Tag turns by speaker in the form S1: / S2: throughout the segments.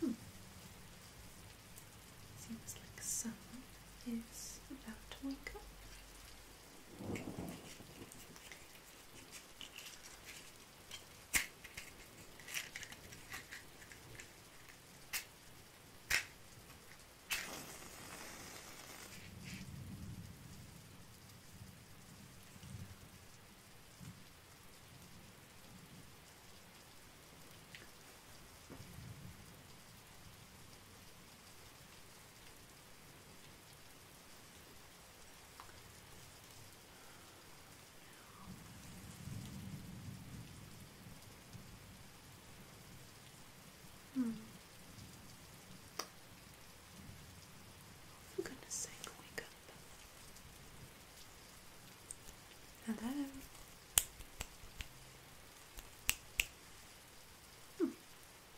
S1: Hmm. Seems like someone is about to wake up. Hmm. For goodness sake, wake up. Hello.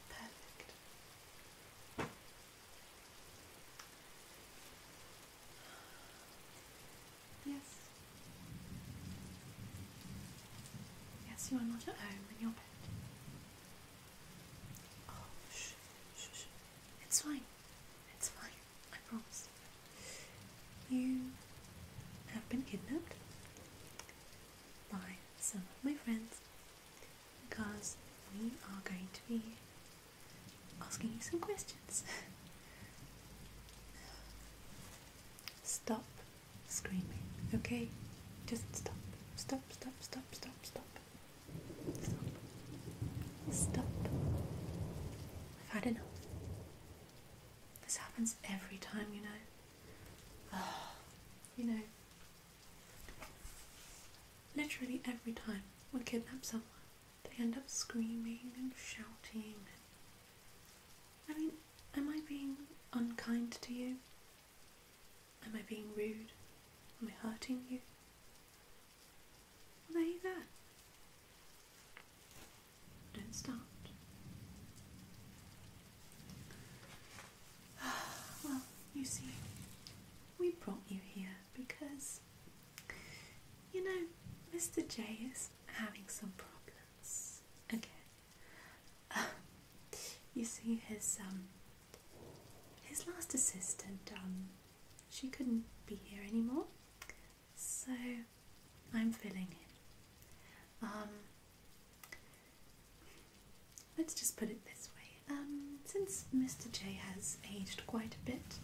S1: Perfect. Yes. Yes, you are not at home in your bed. Oh, shh, shh, shh. It's fine. It's fine. I promise. You have been kidnapped by some of my friends because we are going to be asking you some questions. stop screaming, okay? Just stop. Stop, stop, stop, stop, stop. Stop. Stop i don't know. This happens every time, you know. Ah, you know, literally every time we kidnap someone, they end up screaming and shouting. I mean, am I being unkind to you? Am I being rude? Am I hurting you? Well, you Don't start. Well, you see, we brought you here because, you know, Mr. J is having some problems again. you see, his um, his last assistant um, she couldn't be here anymore, so I'm filling it. Um, let's just put it this way. Um, since Mr. J has aged quite a bit,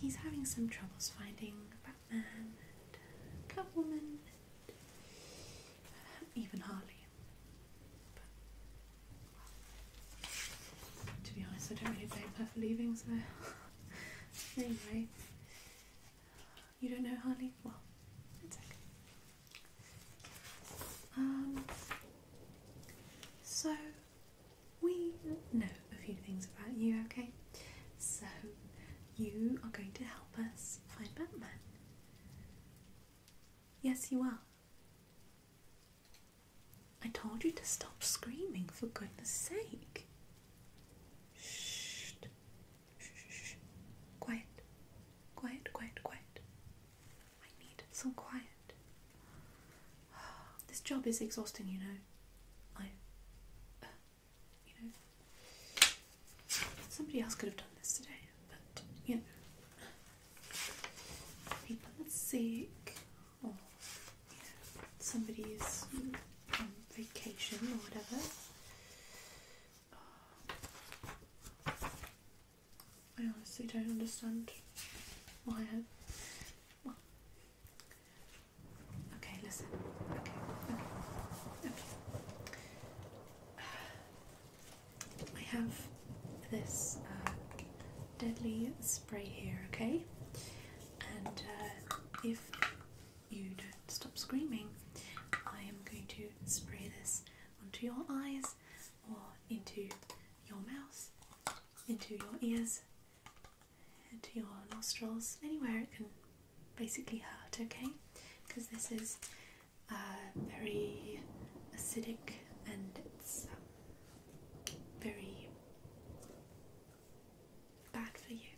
S1: he's having some troubles finding Batman and Catwoman, and even Harley. To be honest, I don't really blame her for leaving, so. anyway, you don't know Harley? Well, it's okay. Um, so, we know a few things about you, okay? So, you are going to help us find Batman. Yes, you are. I told you to stop screaming, for goodness sake. Shh. Shh, shh, shh. Quiet. Quiet, quiet, quiet. I need some quiet. This job is exhausting, you know. I. Uh, you know. Somebody else could have done this today, but, you know. People are sick or somebody's um, vacation or whatever. I honestly don't understand why. I, Okay, listen. Okay, okay, okay. I have this uh, deadly spray here. Okay, and uh, if you don't stop screaming, I am going to spray this onto your eyes or into your mouth, into your ears, into your nostrils, anywhere it can basically hurt, okay? Because this is uh, very acidic and it's um, very bad for you.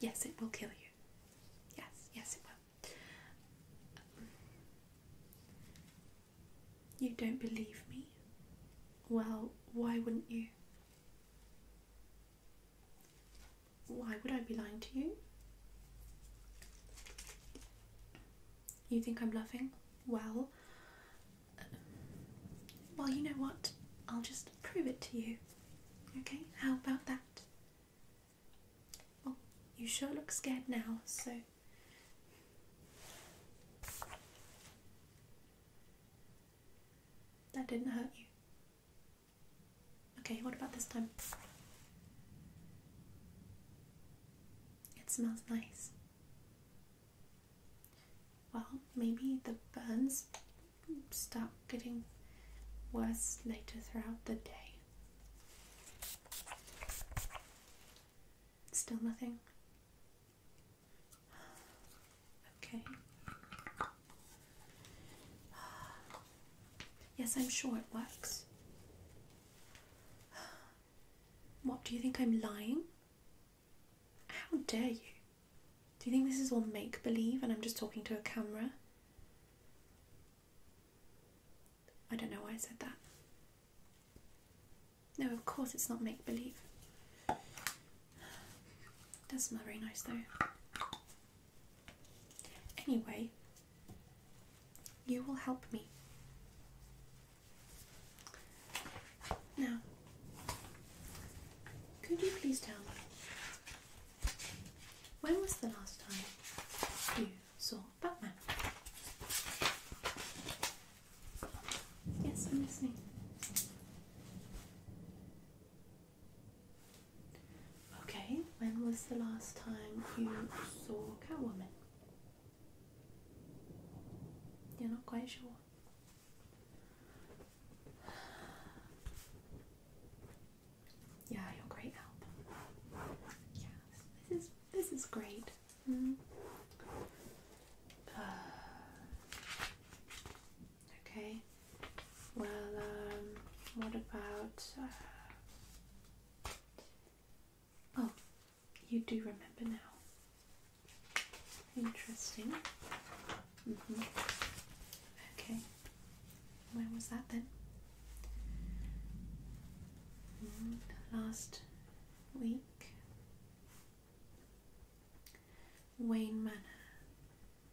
S1: Yes, it will kill you. Yes, yes, it will. Um, you don't believe me? Well, why wouldn't you? Why would I be lying to you? You think I'm loving? Well, well, you know what? I'll just prove it to you. Okay, how about that? Well, you sure look scared now, so. That didn't hurt you. Okay, what about this time? It smells nice. Well, maybe the burns start getting worse later throughout the day. Still nothing. Okay. Yes, I'm sure it works. What, do you think I'm lying? How dare you? Do you think this is all make believe and I'm just talking to a camera? I don't know why I said that. No, of course it's not make believe. It does smell very nice though. Anyway, you will help me. Now, could you please tell me when was the last time you saw Batman? Yes, I'm listening. Okay, when was the last time you saw Catwoman? You're not quite sure. Yeah, you're great help. Yes, this is this is great. Mm. okay. Well, um, what about? Uh, oh, you do remember now. Interesting. Mm Okay. When was that then? Mm, last week. Wayne Manor.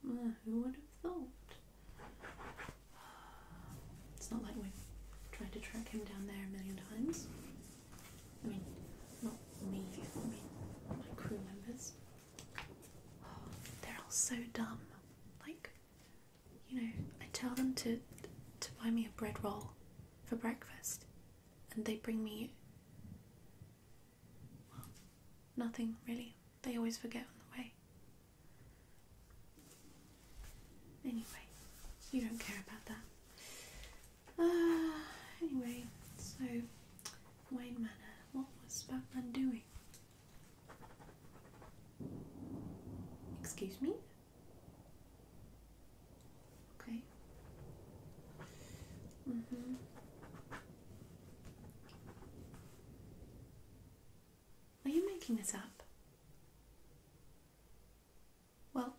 S1: Ah, who would have thought? It's not like we've tried to track him down there a million times. I mean, not me, I mean, my crew members. Oh, they're all so dumb. Like, you know, I tell them to to buy me a bread roll for breakfast, and they bring me well, nothing really. They always forget on the way. Anyway, you don't care about that. Uh, anyway, so Wayne Manor, what was Batman doing? Excuse me? Okay. Mm hmm. Are you making this up? Well,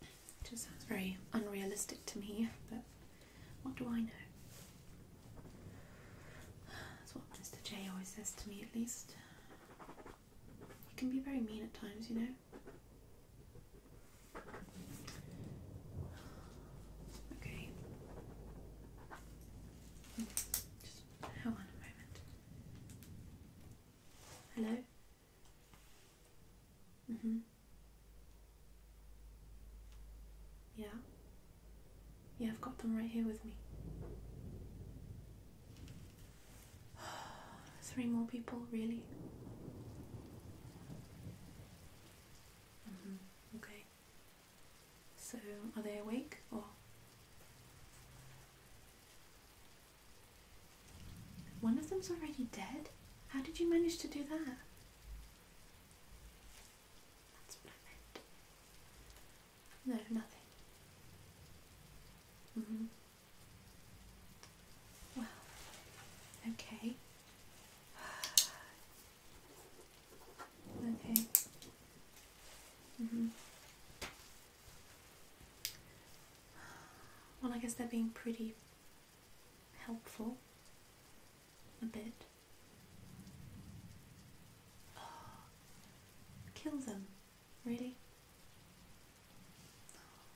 S1: it just sounds very unrealistic to me, but what do I know? That's what Mr. J always says to me, at least. He can be very mean at times, you know. Okay. Just hold on a moment. Hello? Mm-hmm. Yeah. Yeah, I've got them right here with me. Three more people, really? Mm-hmm. Okay. So, are they awake or? One of them's already dead? How did you manage to do that? No, nothing. Mm-hmm. Well, okay. Okay. hmm Well, I guess they're being pretty helpful a bit. Oh, kill them, really?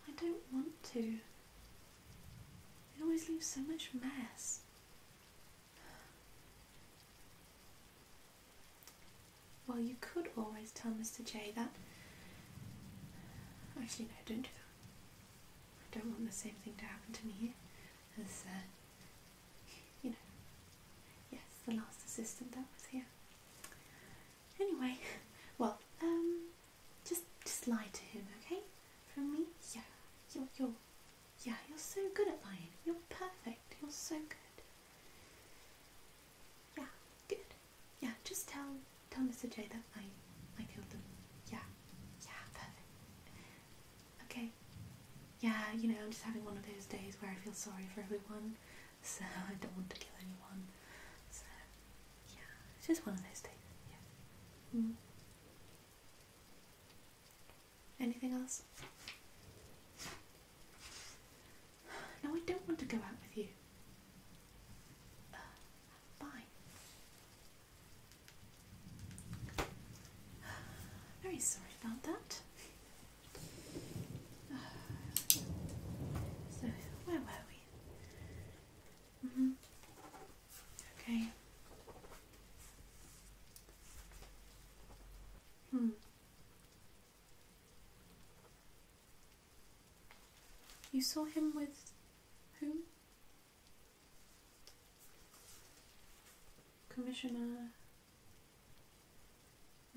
S1: I don't want to. It always leaves so much mess. Well, you could always tell Mr. J that. Actually, no, don't do that. I don't want the same thing to happen to me here, as, uh, you know, yes, the last assistant that was here. Anyway, well, um, just just lie to him, okay? From me, yeah, you're you're yeah, you're so good at lying. You're perfect. You're so good. Yeah, good yeah, just tell tell Mr. J that I I killed them. Yeah, yeah, perfect. Okay. Yeah, you know, I'm just having one of those days where I feel sorry for everyone, so I don't want to kill anyone. So yeah, it's just one of those days. Yeah. Mm. Anything else? No, I don't want to go out with you. Uh, Bye. Very sorry about that. So, where were we? Mm -hmm. Okay. Hmm. You saw him with whom? Commissioner.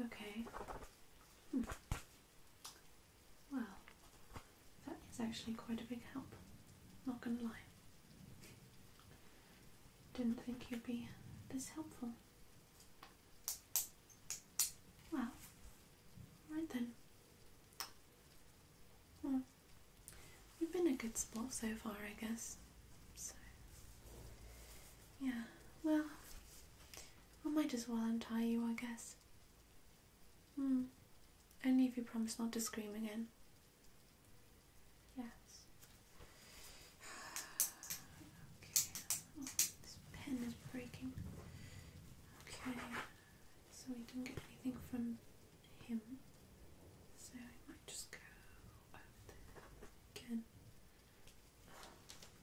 S1: Okay. Hmm. Well, that is actually quite a big help, not gonna lie. Didn't think you'd be this helpful. Well, right then. Well, you've been a good sport so far, I guess. So, yeah, well, I might as well untie you, I guess. Hmm, only if you promise not to scream again. Yes. Okay. Oh, this pen is breaking. Okay so we didn't get anything from him. So I might just go again.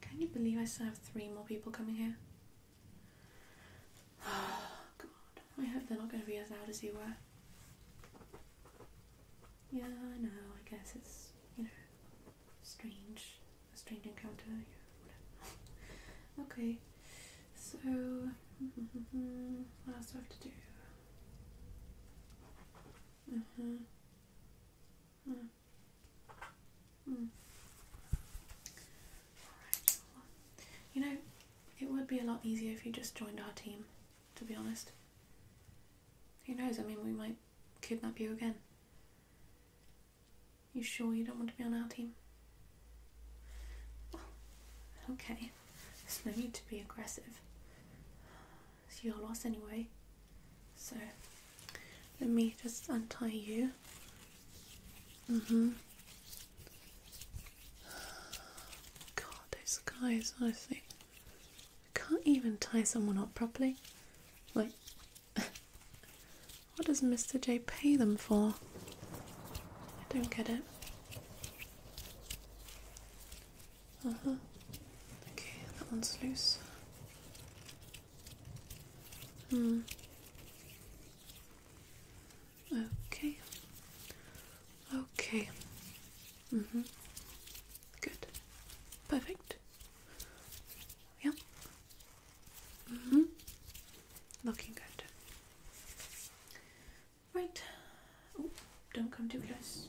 S1: Can you believe I still have three more people coming here? god, I hope they're not going to be as loud as you were. Yeah, I know, I guess it's, you know, strange, a strange encounter. Okay, so what else do I have to do? Uh mm-hmm. huh. Mm-hmm. Mm. Mm. Alright, you know, it would be a lot easier if you just joined our team, to be honest. Who knows, I mean, we might kidnap you again. You sure you don't want to be on our team? okay. There's no need to be aggressive. It's your loss anyway. So, let me just untie you. Mm-hmm. God, those guys, honestly. can't even tie someone up properly. Like, What does Mr. J pay them for? I don't get it. Uh-huh. Okay, that one's loose. Hmm. Okay. Okay. Mm hmm. Good. Perfect. Yep. Mm hmm Looking good. Right. Oh, don't come too close.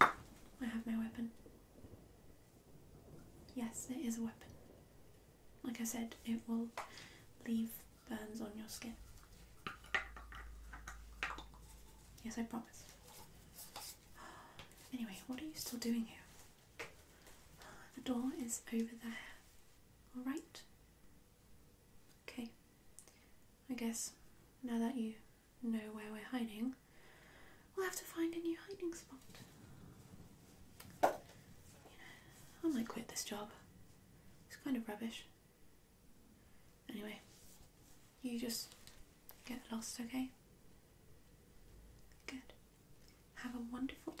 S1: I have my weapon. Yes, it is a weapon. Like I said, it will leave burns on your skin. Yes, I promise. Anyway, what are you still doing here? The door is over there. Alright? Okay. I guess now that you know where we're hiding, we'll have to find a new hiding spot. I might quit this job. It's kind of rubbish. Anyway, you just get lost, okay? Good. Have a wonderful day.